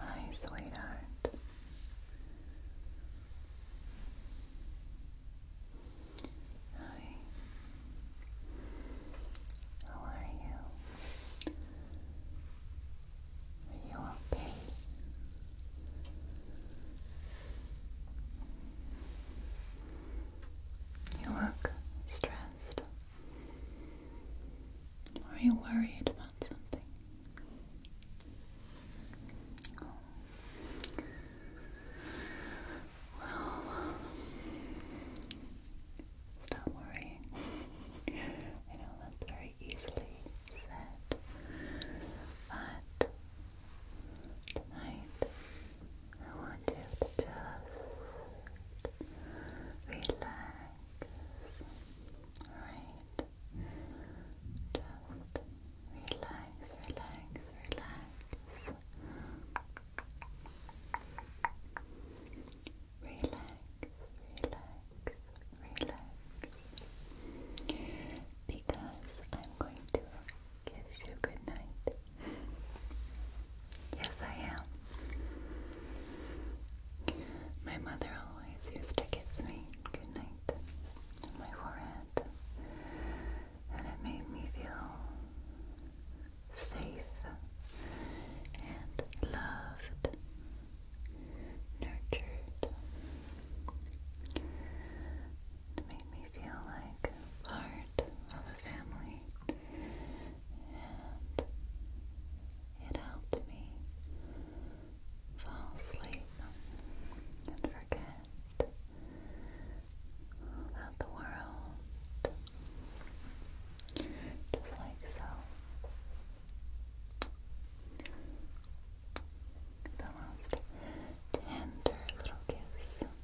Hi, sweetheart. Hi. How are you? Are you okay? You look stressed. are you worried about something? Well, stop worrying. I know that's very easily said, but Tonight, I want you to just relax. Alright? Just relax, relax, relax. Relax, relax, relax. Because I'm going to kiss you goodnight Yes, I am. My mother always used to kiss me good on my forehead, and it made me feel safe and loved, nurtured. It made me feel like part of a family, and it helped me fall asleep and forget about the world. Just like so. The most tender little kiss.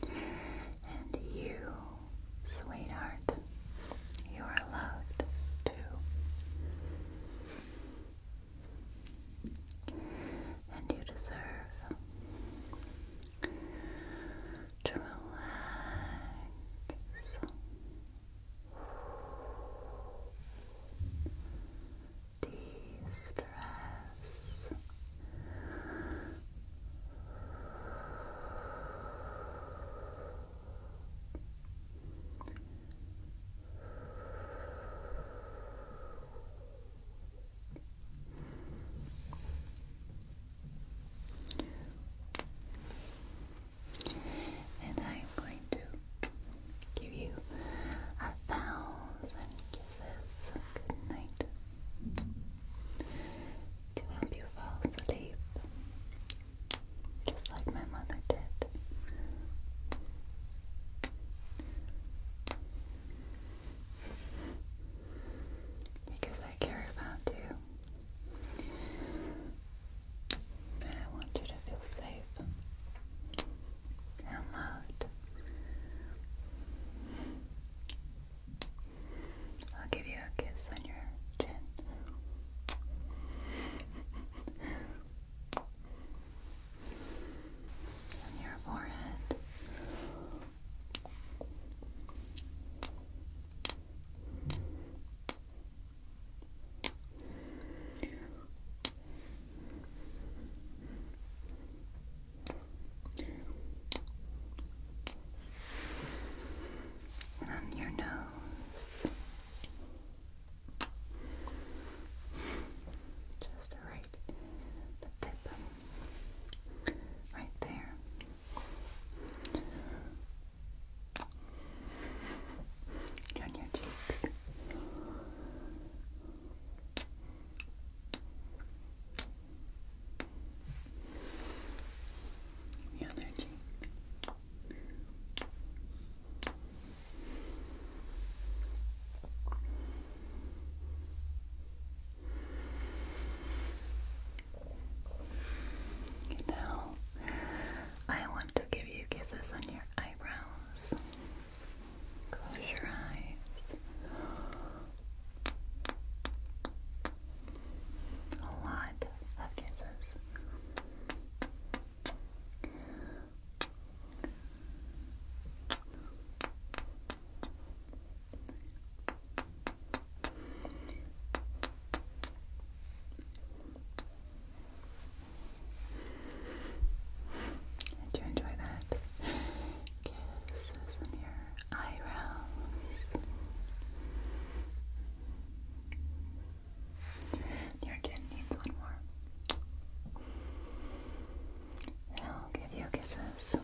And you, sweetheart, you are loved too. And you deserve to relax de-stress and I'm going to give you a thousand kisses. Good night. To help you fall asleep. Just like my mother did because I care about you. And I want you to feel safe and loved. I'll give you a kiss on your chin. On your forehead. On your nose. Just right the tip right there on your cheeks. The other cheek. Now, I want to give you kisses on your eyebrows. Close your eyes. A lot of kisses. Did you enjoy that? Kisses in your eyebrows. Your chin needs one more. I'll give you kisses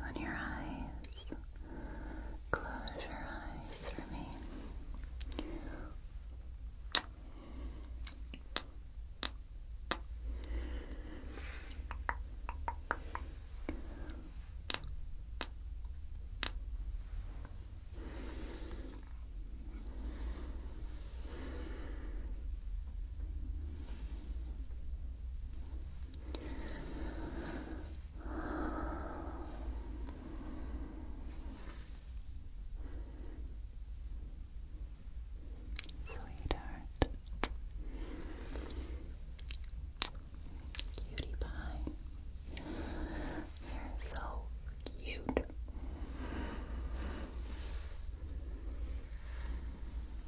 on your eyes. Close your eyes for me. Sweetheart. Cutie pie. You're so cute.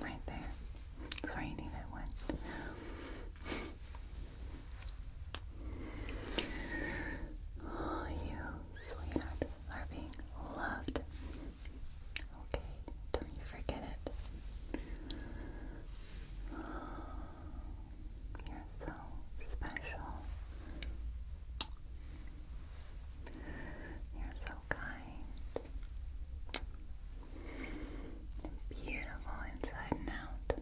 Right there. That's where you need Oh, you, sweetheart, are being loved. Okay, don't you forget it. you're so special. You're so kind beautiful inside and out.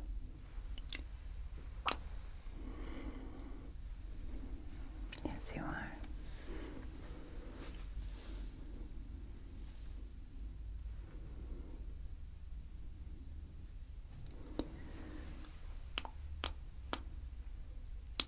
Yes, you are.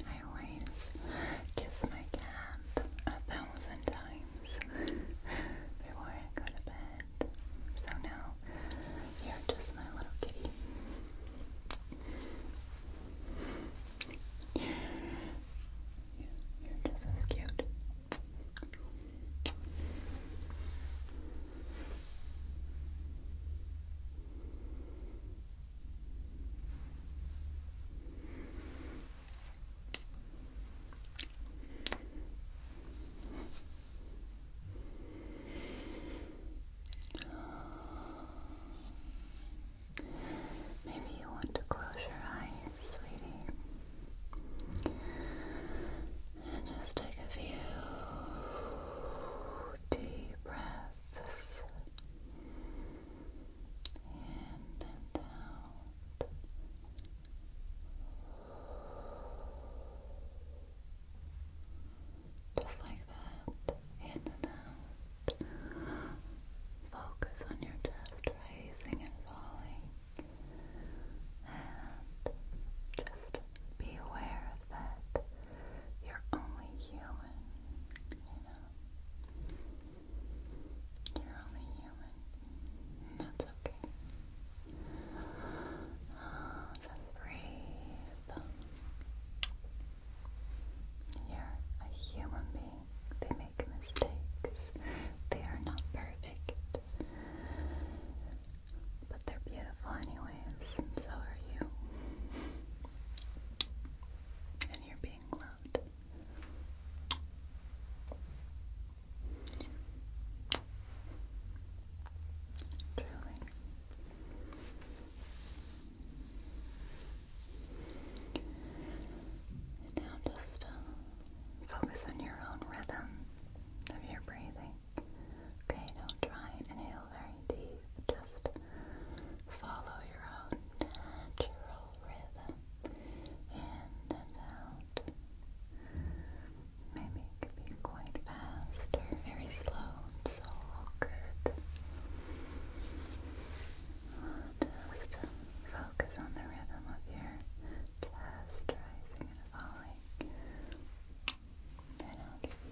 I always kiss my cat a thousand times before I go to bed. So now you're just my little kitty. you're just as cute. Maybe you want to close your eyes, sweetie, and just take a few deep breaths in and out. Just like that, in and out. Focus on your chest rising and falling. And just be aware of that you're only human, you know. You're only human. And that's okay. Oh, just breathe. You're a human being. They make mistakes. They are not perfect. But they're beautiful anyways, so are you and you're being loved. Truly. now just uh, focus on your own rhythm of your breathing. Okay, now try inhale feel very Just follow your own natural rhythm and out. Maybe it could be quite fast or very slow. It's good. Just focus on the rhythm of your chest rising and falling. And i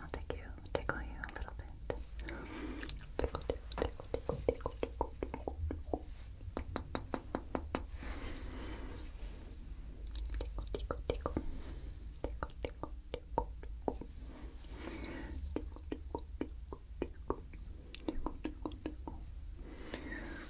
I'll take you, tickle you a little bit. Tickle, tickle, tickle, tickle, tickle, tickle, tickle. Tickle, tickle, tickle. Tickle, tickle, tickle, tickle. Tickle, tickle, tickle, tickle. Tickle, tickle, tickle.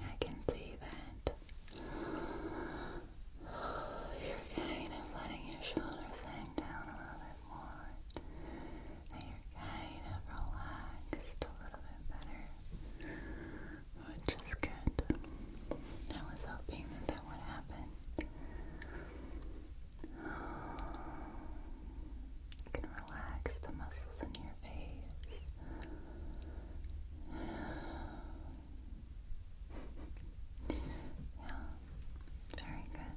I can see that you're kind of letting your shoulders hang down a little bit more. And you're kind of relaxed a little bit better. Which is good. I was hoping that that would happen. You can relax the muscles in your face. Yeah, very good.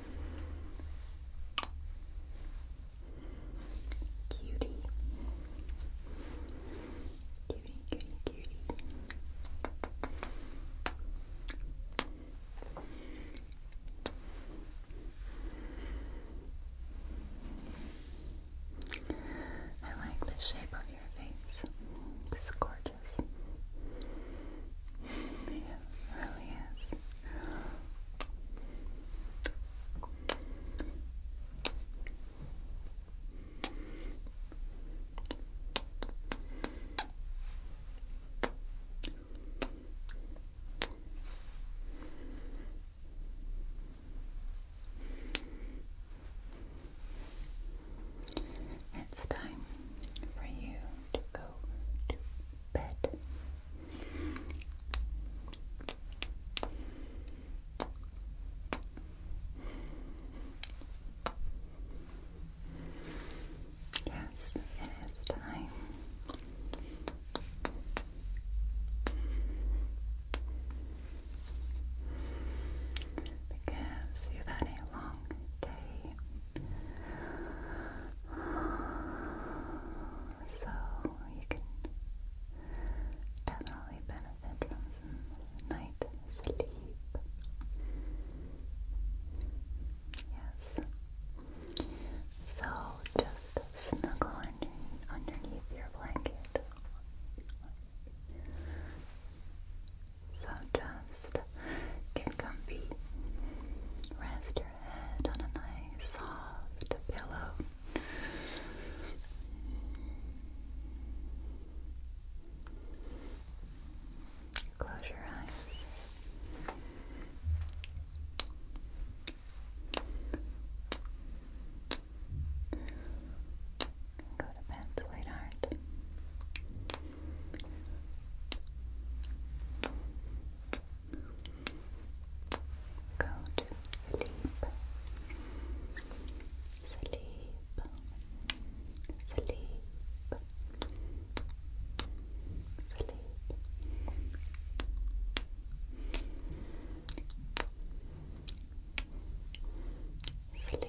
Cutie. Cutie, cutie, cutie. I like the shape of your face. It's gorgeous gorgeous. Yeah, really is. It's time for you to go to bed. Yes, it is time. Because you had a long day so you can definitely benefit from some night sleep. Yes. So just snuggle under, underneath your blanket. So just get comfy. Rest your head on a nice soft pillow. Close your eyes. Go to bed, sweetheart. Go to sleep. Sleep. Sleep. Sleep. Sleep.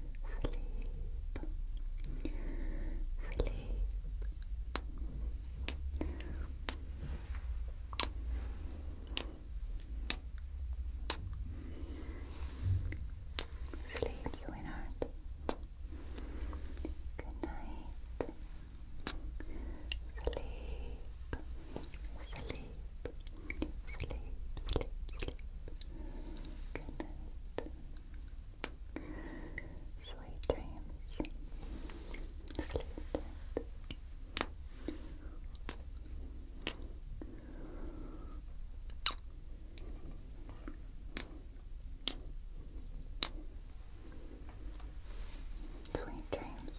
sleep, sleep, sleep, you heart. Good night, sleep, sleep sleep, sleep, sleep. Sweet dreams. Sleep tight. Sweet dreams.